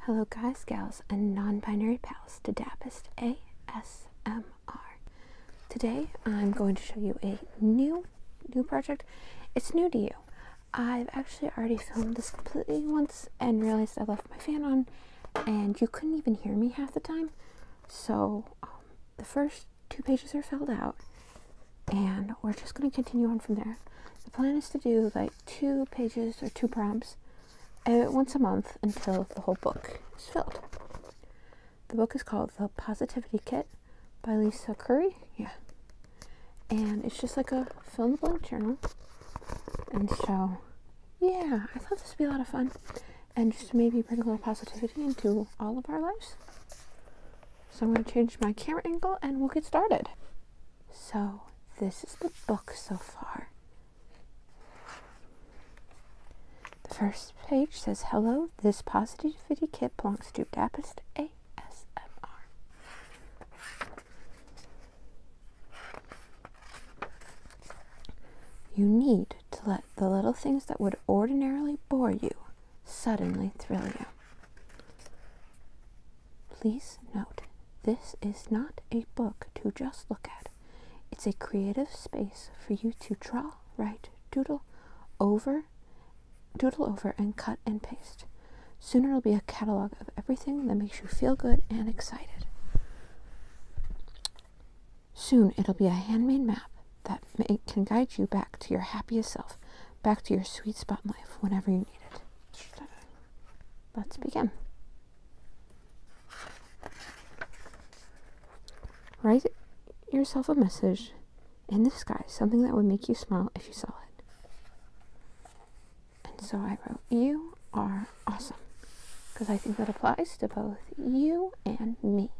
Hello, guys, gals, and non binary pals to Dappist ASMR. Today I'm going to show you a new new project. It's new to you. I've actually already filmed this completely once and realized I left my fan on, and you couldn't even hear me half the time. So um, the first two pages are filled out, and we're just going to continue on from there. The plan is to do like two pages or two prompts out once a month until the whole book is filled. The book is called The Positivity Kit by Lisa Curry. Yeah. And it's just like a fill in the blank journal. And so, yeah, I thought this would be a lot of fun. And just maybe bring a little positivity into all of our lives. So I'm going to change my camera angle and we'll get started. So, this is the book so far. The first page says, Hello, this positive fitty kit belongs to Dapist A. You need to let the little things that would ordinarily bore you suddenly thrill you. Please note this is not a book to just look at. It's a creative space for you to draw, write, doodle over, doodle over, and cut and paste. Soon it'll be a catalog of everything that makes you feel good and excited. Soon it'll be a handmade map that can guide you back to your happiest self, back to your sweet spot in life whenever you need it let's begin. Write yourself a message in the sky, something that would make you smile if you saw it. And so I wrote, You are awesome. Because I think that applies to both you and me.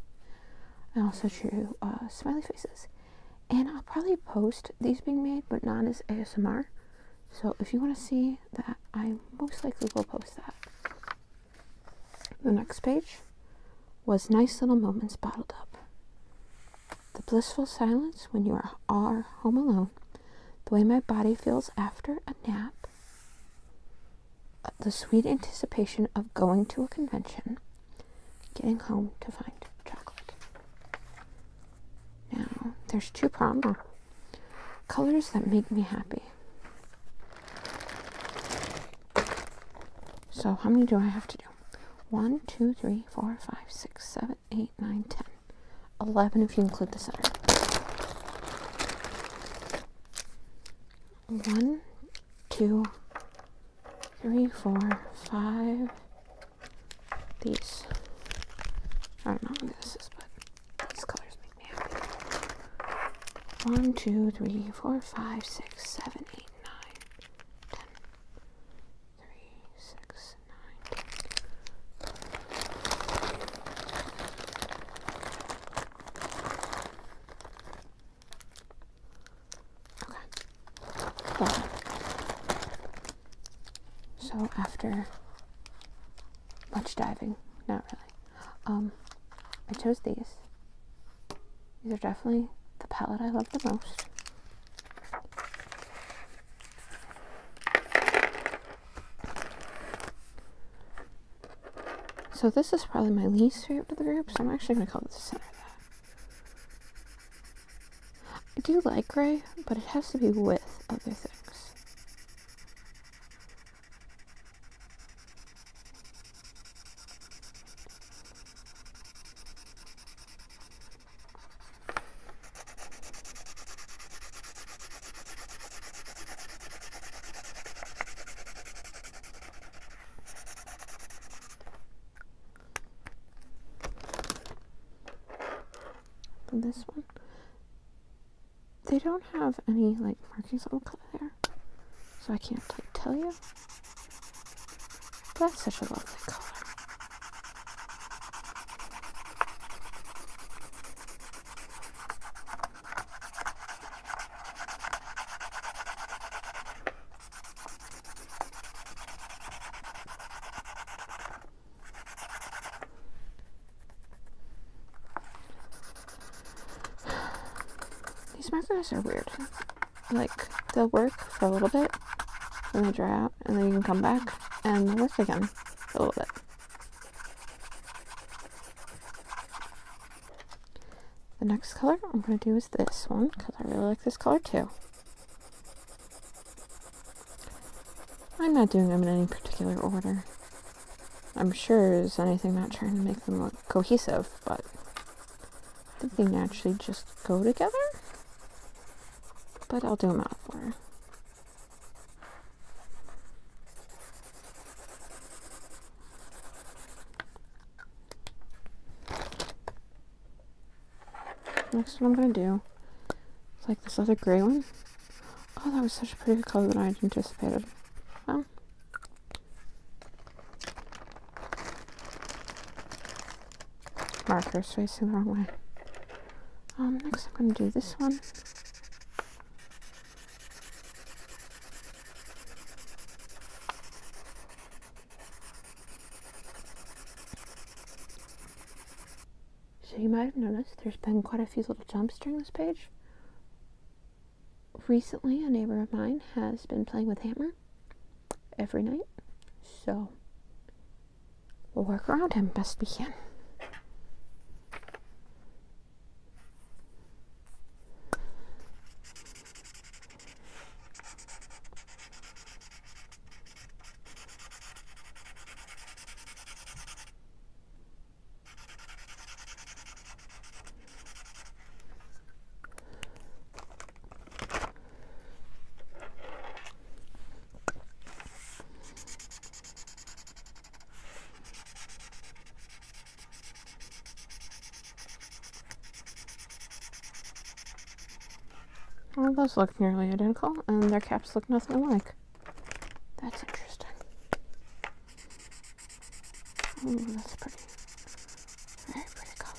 I also drew uh, smiley faces. And I'll probably post these being made, but not as ASMR. So if you want to see that, I most likely will post that. The next page was Nice Little Moments Bottled Up. The blissful silence when you are, are home alone, the way my body feels after a nap, uh, the sweet anticipation of going to a convention, getting home to find chocolate. Now, there's two problems. Colors that make me happy. So, how many do I have to do? 1, 2, 3, 4, 5, 6, 7, 8, 9, 10, 11 if you include the center. 1, 2, 3, 4, 5, these. I don't know what this is, but these colors make me happy. One, two, three, four, five, six, seven, eight, nine, ten. Three, six, nine, ten. So after much diving, not really, um, I chose these. These are definitely the palette I love the most. So this is probably my least favorite of the group, so I'm actually going to call this the center I do like gray, but it has to be with other things this one. They don't have any like markings on the color there, so I can't like tell you. But that's such a lovely color. These markers are weird. Like, they'll work for a little bit, then they dry out, and then you can come back and work again a little bit. The next color I'm going to do is this one because I really like this color too. I'm not doing them in any particular order. I'm sure is anything not trying to make them look cohesive, but I think they naturally just go together. But I'll do them out for. order next what I'm going to do It's like this other gray one. Oh, that was such a pretty color that I had anticipated. Well, marker's facing the wrong way. Um, next I'm going to do this one. So you might have noticed there's been quite a few little jumps during this page. Recently, a neighbor of mine has been playing with Hammer every night, so we'll work around him best we can. Well, those look nearly identical, and their caps look nothing alike. That's interesting. Ooh, that's pretty. Very pretty color.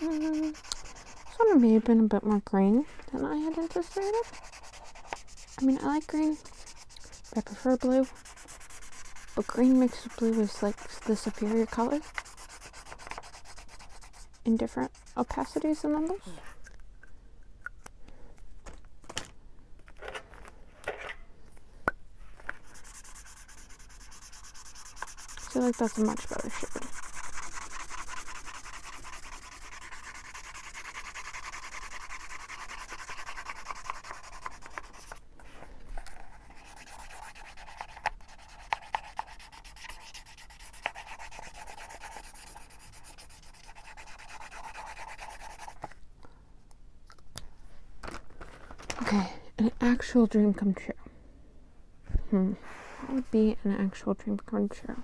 Mm, this may have been a bit more green than I had anticipated. I mean, I like green, I prefer blue. But green mixed with blue is like the superior color in different opacities and numbers. I feel like that's a much better shade. Okay, an actual dream come true. Hmm. What would be an actual dream come true?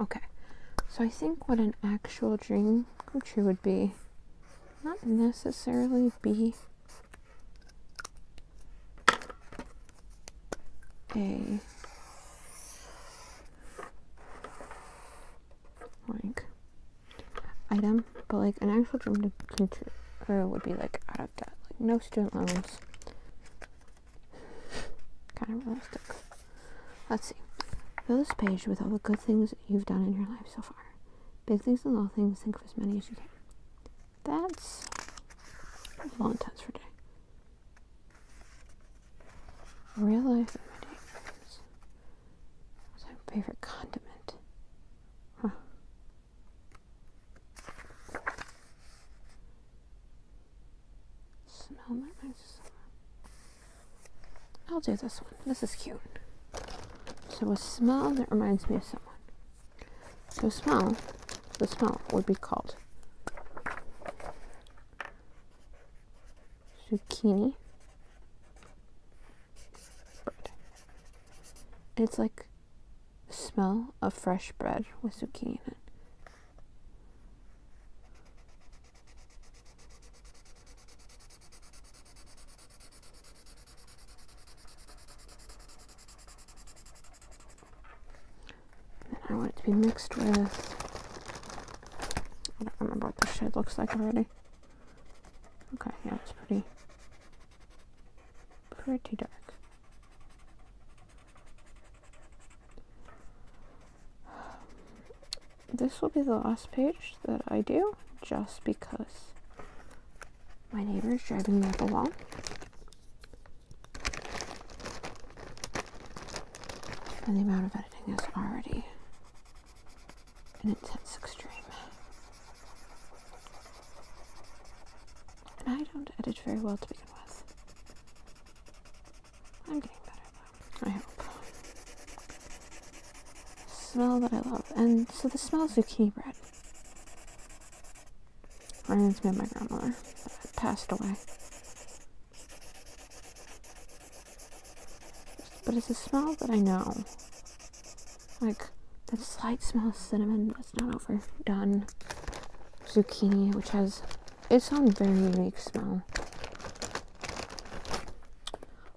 Okay. So I think what an actual dream come true would be not necessarily be a like item, but like an actual dream to teacher uh, would be like out of debt, like no student loans. kind of realistic. Let's see. Fill this page with all the good things you've done in your life so far. Big things and little things, think of as many as you can. That's a long test for day. Real life my favorite condiment? Huh. Smell that nice. I'll do this one. This is cute. So a smell that reminds me of someone. So smell, the smell would be called zucchini it's like smell of fresh bread with zucchini in it. I want it to be mixed with I don't remember what this shade looks like already. Okay, yeah, it's pretty, pretty dark. This will be the last page that I do, just because my neighbor is driving me up a wall. And the amount of editing is already an intense extreme. And I don't edit very well to begin with. I'm getting better though, I hope. Smell that I love. And so the smell zucchini bread. Reminds me of my grandmother passed away. But it's a smell that I know. Like, the slight smell of cinnamon that's not overdone. Zucchini, which has its own very unique smell.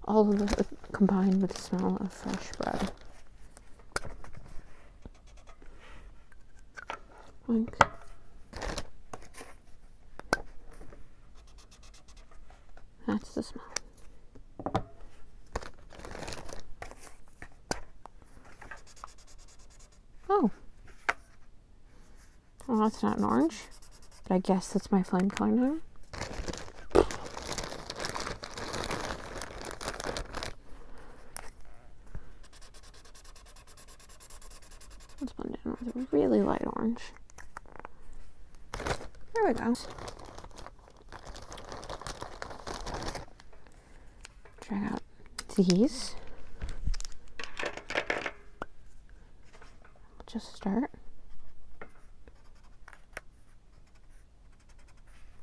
All of this combined with the smell of fresh bread. Like, that's the smell. Oh. Oh, that's not an orange, but I guess that's my flame color now. Let's blend it in with a really light orange. There we go. Drag out these. Just start.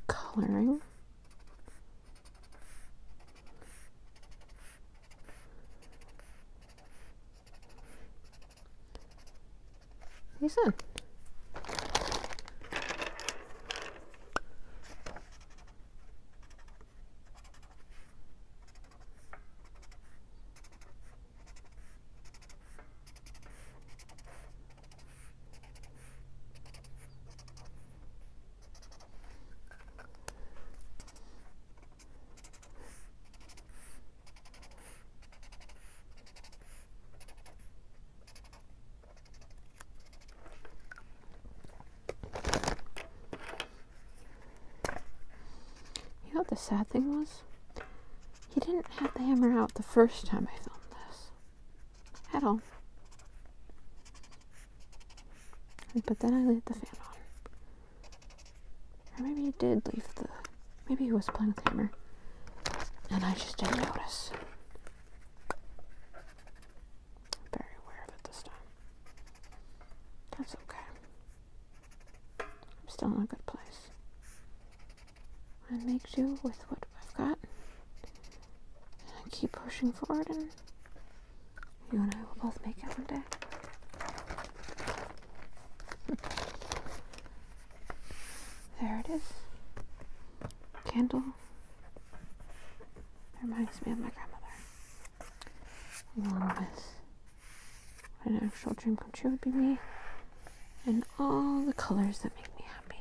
Coloring. Güzel. You know what the sad thing was? He didn't have the hammer out the first time I filmed this. Had all. But then I laid the fan on. Or maybe he did leave the... Maybe he was playing with the hammer. And I just didn't notice. very aware of it this time. That's okay. I'm still in a good place. I make do with what I've got. I keep pushing forward and you and I will both make it one day. There it is. Candle. It reminds me of my grandmother. Along with what an actual dream come true would be me. And all the colors that make me happy.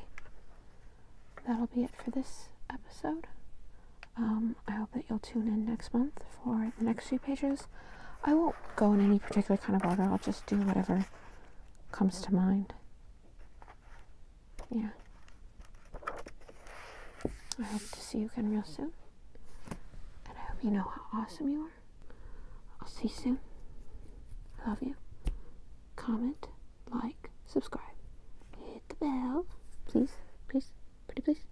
That'll be it for this episode. Um, I hope that you'll tune in next month for the next few pages. I won't go in any particular kind of order, I'll just do whatever comes to mind. Yeah. I hope to see you again real soon. And I hope you know how awesome you are. I'll see you soon. I love you. Comment, like, subscribe. Hit the bell. Please, please, pretty please.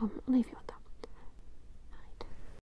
Um, I'll leave you on that.